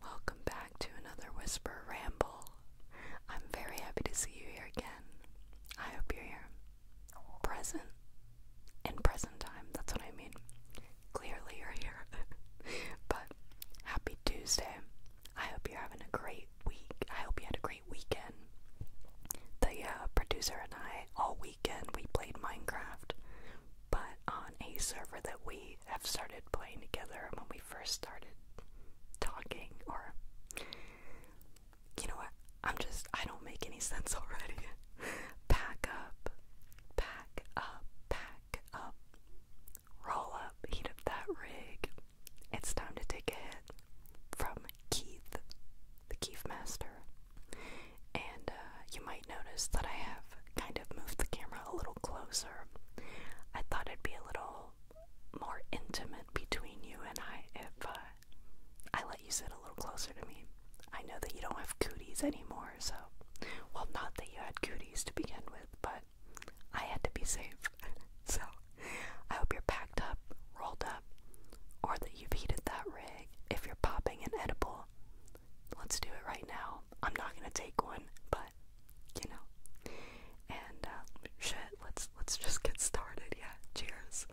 Welcome back to another Whisper Ramble. I'm very happy to see you here again. I hope you're here. Present. In present time, that's what I mean. Clearly you're here. but happy Tuesday. I hope you're having a great week. I hope you had a great weekend. The uh, producer and I, all weekend, we played Minecraft, but on a server that we have started playing together when we first started talking or you know what i'm just i don't make any sense already pack up pack up pack up roll up heat up that rig it's time to take a from keith the keith master and uh, you might notice that i have kind of moved the camera a little closer. I thought it'd be a little more intimate between you and I if uh, I let you sit a little closer to me. I know that you don't have cooties anymore, so. Well, not that you had cooties to begin with, but I had to be safe. so I hope you're packed up, rolled up, or that you've heated that rig. If you're popping an edible, let's do it right now. I'm not gonna take one, but you know. And uh, shit, let's let's just get started. Yeah, cheers.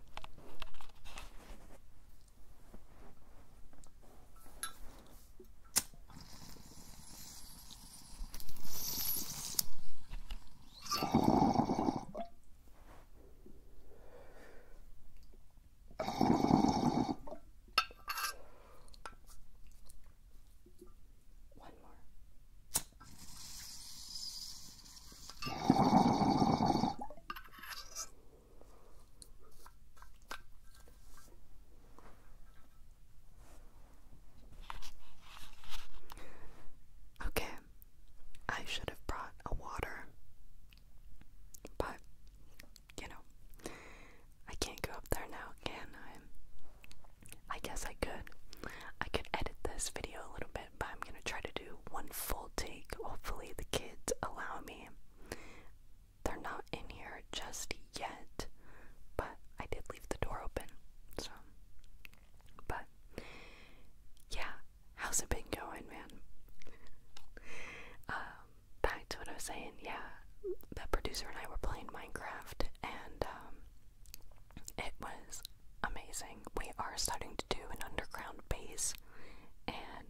One more. Okay, I should have brought a water, but you know, I can't go up there now, can I? I guess I could. I could edit this video a little bit, but I'm gonna try to do one full take. Hopefully, the kids allow me. They're not in here just yet, but I did leave the door open, so. But, yeah, how's it been going, man? Um, back to what I was saying, yeah, the producer and I were playing Minecraft, and um, it was amazing. We are starting to do an underground base, and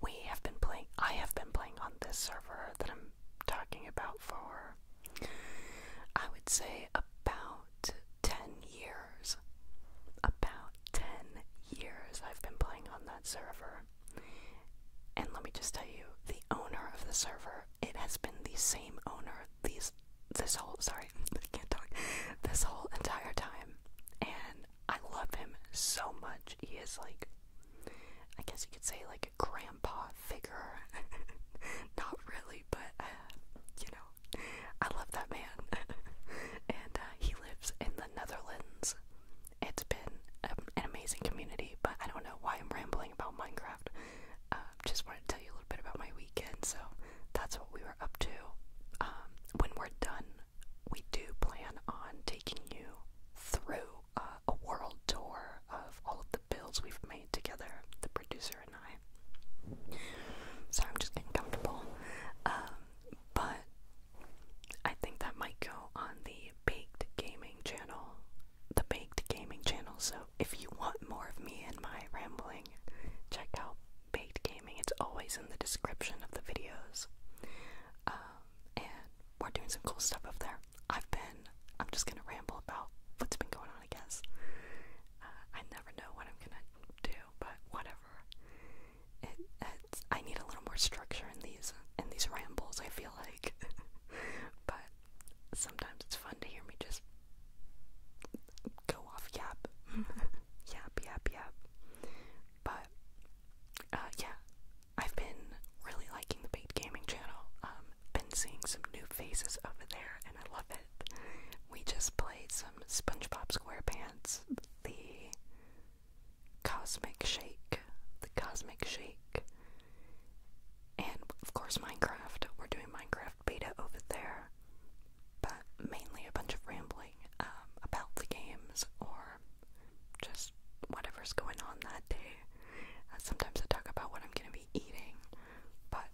we have been playing, I have been playing on this server that I'm talking about for, I would say, about 10 years. About 10 years I've been playing on that server. And let me just tell you, the owner of the server, it has been the same owner these this whole sorry, I can't talk this whole entire time. And I love him so much. He is like I guess you could say like a grandpa figure. Not really, but uh, you know, I love that man. and uh, he lives in the Netherlands it's been an amazing community, but I don't know why I'm rambling about Minecraft. Uh, just wanted to tell you a little bit about my weekend, so that's what we were up to. Um, when we're done, we do plan on taking you through uh, a world tour of all of the builds we've made together, the producer and I. So I'm just getting comfortable. Um, but I think that might go on the Baked Gaming channel. The Baked Gaming channel. So if you want more of me and my rambling, check out Baked Gaming. It's always in the description of the videos. Um, and we're doing some cool stuff up there. I've been, I'm just gonna ramble about what's been going on, I guess. Uh, I never know what I'm gonna do, but whatever. Uh, I need a little more structure in these in these rambles. I feel like, but sometimes it's fun to hear me just go off yap, yap, yap, yap. But uh, yeah, I've been really liking the Bait Gaming channel. Um, been seeing some new faces over there, and I love it. We just played some SpongeBob SquarePants, the Cosmic Shake, the Cosmic Shake, and of course Minecraft. We're doing Minecraft beta over there, but mainly a bunch of rambling um, about the games or just whatever's going on that day. Uh, sometimes I talk about what I'm gonna be eating, but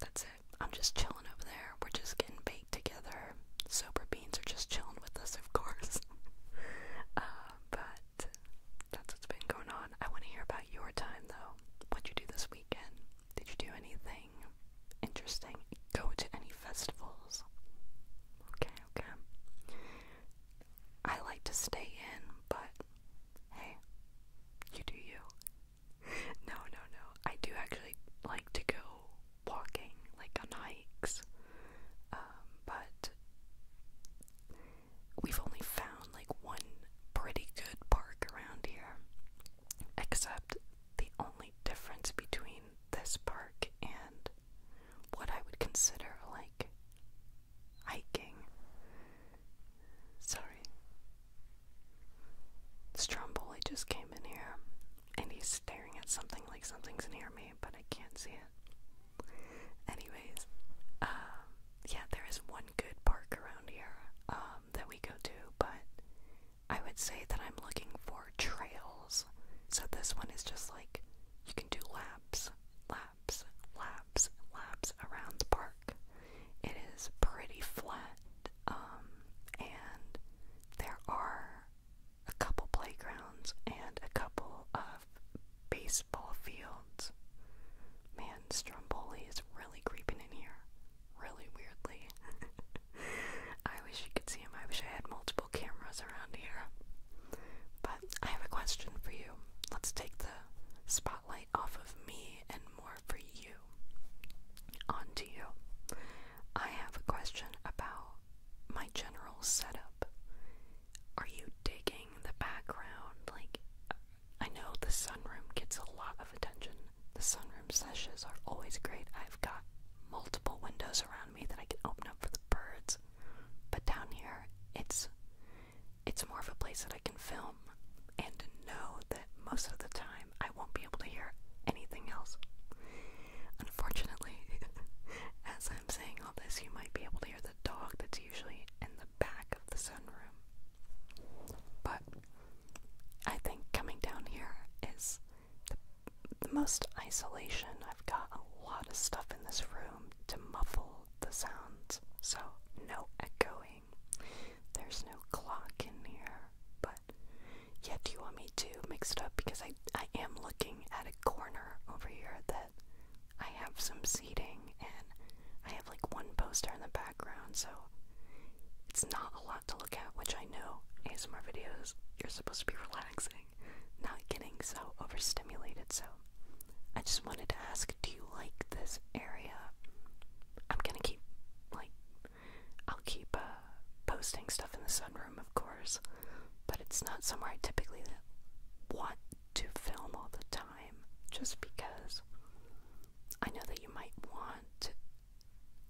that's it. I'm just chilling over there. We're just getting basic together. Sober beans are just chilling with us, of course. Uh, but that's what's been going on. I want to hear about your time, though. What'd you do this weekend? Did you do anything interesting? Go to any festivals? Okay, okay. I like to stay in, but hey, you do you. no, no, no. I do actually like to go walking, like on hikes. Um, but we've only found like one pretty good park around here. Except the only difference between this park and what I would consider like hiking. Sorry. Stromboli just came in here and he's staring at something like something's near me but I can't see it. Anyways, um, yeah, there is one good park around here um, that we go to, but I would say that I'm looking for trails. So this one is just like you can do laps, laps, laps, laps around the park. It is pretty flat, um, and there are a couple playgrounds and a couple of baseball fields. Man, Stromboli is really creeping in here. Really weirdly. I wish you could see him. I wish I had multiple cameras around here. But I have a question for you. Let's take the spotlight off of me and more for you. On to you. I have a question about my general setup. Are you digging the background? Like, I know the sunroom gets a lot of attention. The sunroom sessions are always great. I've got multiple windows around me that I can open up for the birds. But down here, it's it's more of a place that I can film and know that most of the time I won't be able to hear anything else. Unfortunately, as I'm saying all this, you might be able to hear the dog that's usually in the back of the sunroom. But I think coming down here is the, the most isolation. I've got a lot of stuff in this room to muffle the sounds, so no echoing. There's no clock in here, but yeah, do you want me to mix it up? Because I, I am looking at a corner over here that I have some seating and I have like one poster in the background, so it's not a lot to look at, which I know ASMR videos, you're supposed to be relaxing, not getting so overstimulated. So I just wanted to ask, do you like this area? I'm gonna keep like I'll keep uh, posting stuff in the sunroom, of course, but it's not somewhere I typically want to film all the time just because I know that you might want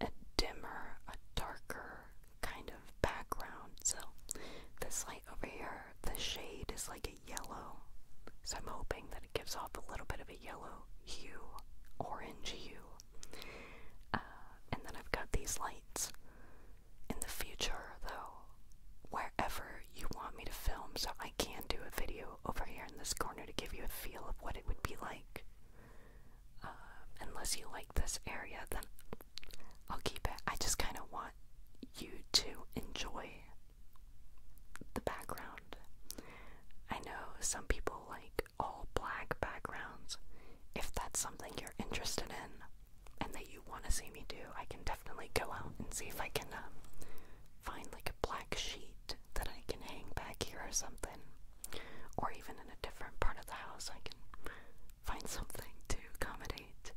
a dimmer, a darker kind of background. So, this light over here, the shade is like a yellow, so I'm hoping that it gives off a little bit of a yellow hue, orange hue. Uh, and then I've got these lights. In the future, though, wherever you want me to film, so I can do a video over here in this corner to give you a feel of what it would be like. Uh, unless you like this area, then I'll keep it. I just kind of want you to enjoy the background. I know some people like all black backgrounds. If that's something you're interested in and that you want to see me do, I can definitely go out and see if I can um, find like a black sheet that I can hang back here or something. Or even in a different part of the house, I can find something to accommodate.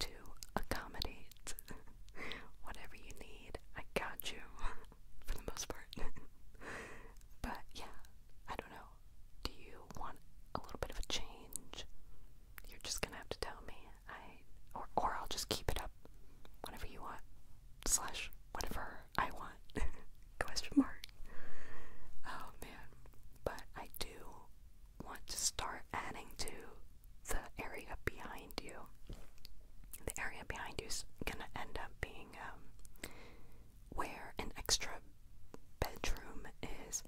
To accommodate whatever you need, I got you for the most part. but yeah, I don't know. Do you want a little bit of a change? You're just gonna have to tell me. I or or I'll just keep it up. Whatever you want. Slash whatever I want. Question mark. Oh man. But I do want to start adding to the area behind you. The area behind you is gonna end up being um where an extra bedroom is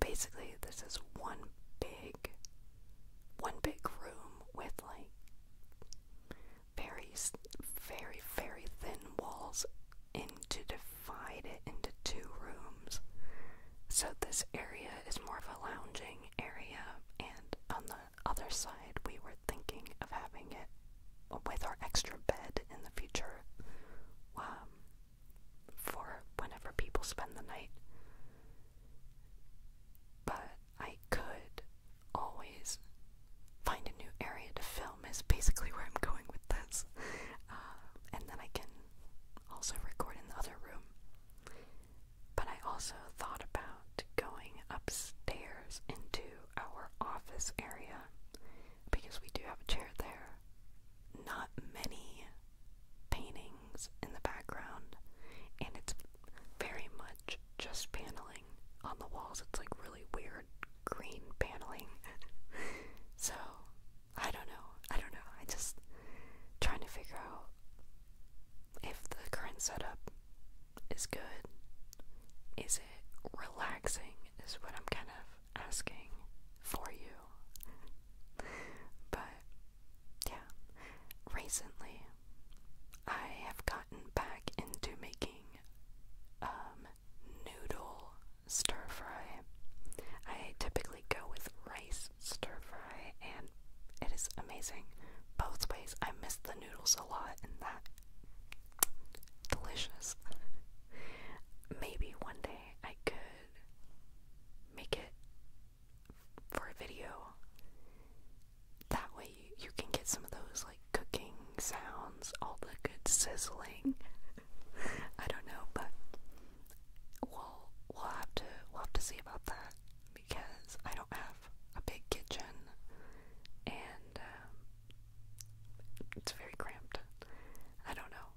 basically this is one big one big room with like very very very thin walls and to divide it into two rooms so this area is more of a lounging area and on the other side we were thinking of having it with our extra bed in the future um, for whenever people spend the night. But I could always find a new area to film, is basically where I'm going with this. Uh, and then I can also record in the other room. But I also thought about going upstairs into our office area because we do have a chair there. Not many paintings in the background, and it's very much just paneling on the walls. It's like really weird green paneling. so, I don't know. I don't know. I am just trying to figure out if the current setup is good. Is relaxing is what I'm kind of asking for you. but yeah, recently I have gotten back into making um noodle stir fry. I typically go with rice stir fry and it is amazing both ways. I miss the noodles a lot in that delicious. Maybe one day I could make it for a video. That way you can get some of those like cooking sounds, all the good sizzling. I don't know, but we'll we'll have to we'll have to see about that because I don't have a big kitchen and um, it's very cramped. I don't know.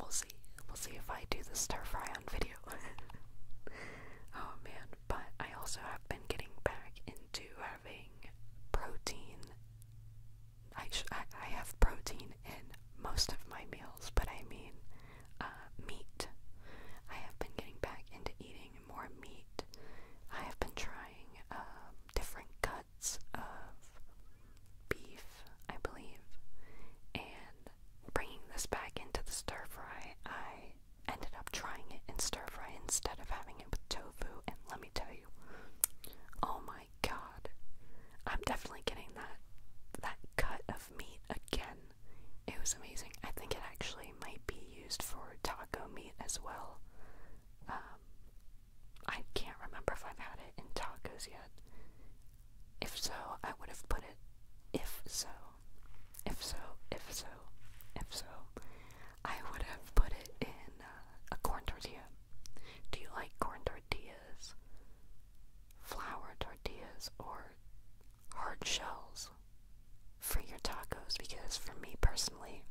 We'll see. We'll see if I do this stir fry on video. oh man, but I also have been getting back into having protein. I, I, I have protein in most of my meals, but I mean uh, meat. I have been getting back into eating more meat. I have been trying um, different cuts of beef, I believe, and bringing this back into the stir fry, I ended up trying it in stir fry instead of having it with tofu, and let me tell you, oh my god, I'm definitely getting that that cut of meat again. It was amazing. I think it actually might be used for taco meat as well. Um, I can't remember if I've had it in tacos yet. If so, I would have put it. If so, if so, if so, if so, I would have put it in uh, a corn tortilla. Do you like corn tortillas, flour tortillas, or hard shells? for your tacos because for me personally,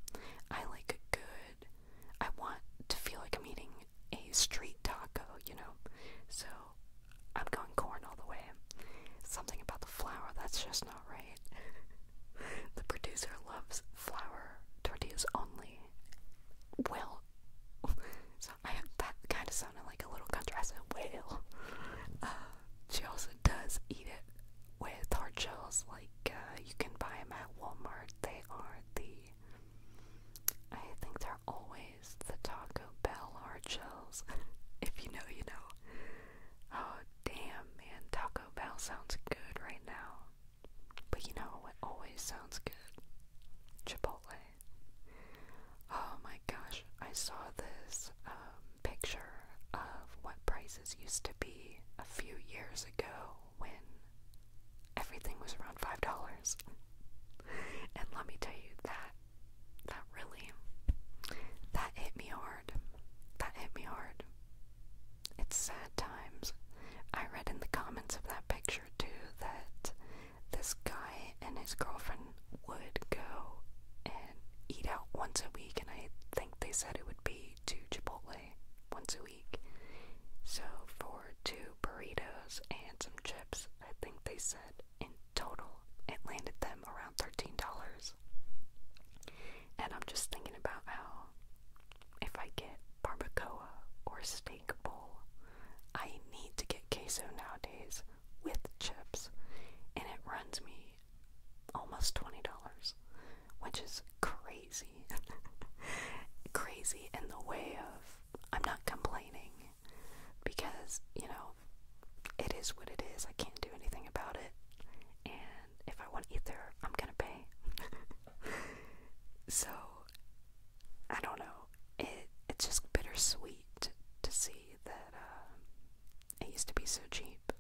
I like a good, I want to feel like I'm eating a street taco, you know? So I'm going corn all the way. Something about the flour, that's just not right. the producer loves flour tortillas only. Well, so I, that kind of sounded like a little country. I uh, she also does eat it with hard shells like uh, you can buy them at Walmart. They are the I think they're always the Taco Bell hard shells. if you know, you know. Oh damn, man, Taco Bell sounds good right now. But you know it always sounds good? Chipotle. Oh my gosh, I saw this um, picture of what price used to be a few years ago when everything was around five dollars. and let me tell you that that really that hit me hard. That hit me hard. It's sad times. I read in the comments of that picture too that this guy and his girlfriend would go and eat out once a week and I think they said it would be to Chipotle once a week. So for two burritos and some chips, I think they said in total it landed them around $13. And I'm just thinking about how if I get barbacoa or steak bowl, I need to get queso nowadays with chips, and it runs me almost $20, which is crazy. crazy in the way of I'm not complaining because, you know, it is what it is. I can't do anything about it. And if I want to eat there, I'm going to pay. so, I don't know. It it's just bittersweet to see that um, it used to be so cheap.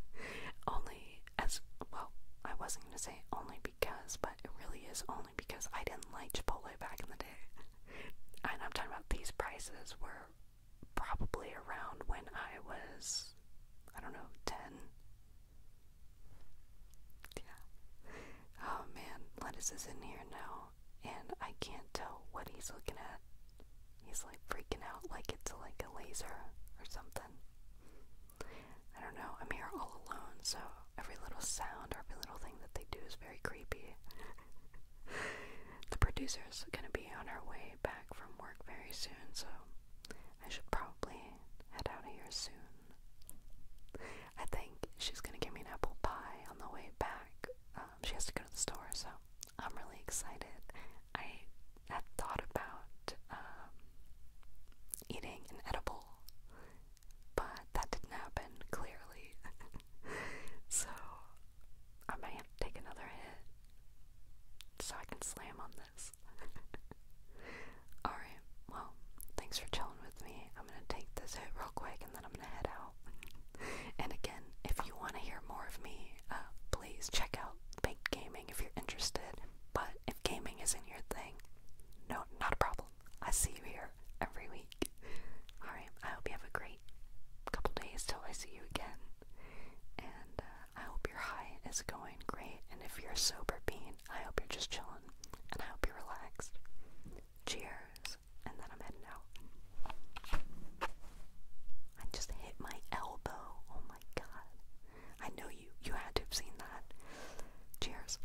only as well, I wasn't gonna say only because, but it really is only because I didn't like Chipotle back in the day. and I'm talking about these prices were probably around when I was, I don't know, 10. Yeah. Oh man, lettuce is in here now, and I can't tell what he's looking at. He's like freaking out like it's like a laser or something. I don't know. I'm here all alone, so every little sound, every little thing that they do is very creepy. the producer is gonna be on her way back from work very soon, so I should probably head out of here soon. I think she's gonna give me an apple pie on the way back. Um, she has to go to the store, so I'm really excited. I had thought about um, eating an edible, but that didn't happen clearly. so I may have to take another hit so I can slam on this. Alright, well, thanks for chilling with me. I'm gonna take this hit real quick and then I'm gonna head out. and again, if you want to hear more of me, uh, please check out baked gaming if you're interested. But if gaming isn't your thing, no, not a problem. I see you here every week. Alright, I hope you have a great couple days till I see you again. And uh, I hope your high is going great. And if you're a sober bean, I hope you're just chilling. And I hope you're relaxed. Cheers. And then I'm heading out. I just hit my elbow. Oh my god. I know you you had to have seen that. Cheers.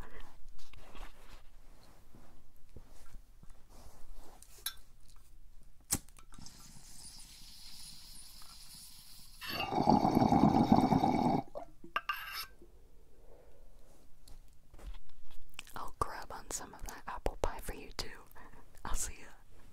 I'll grab on some of that apple pie for you too. I'll see you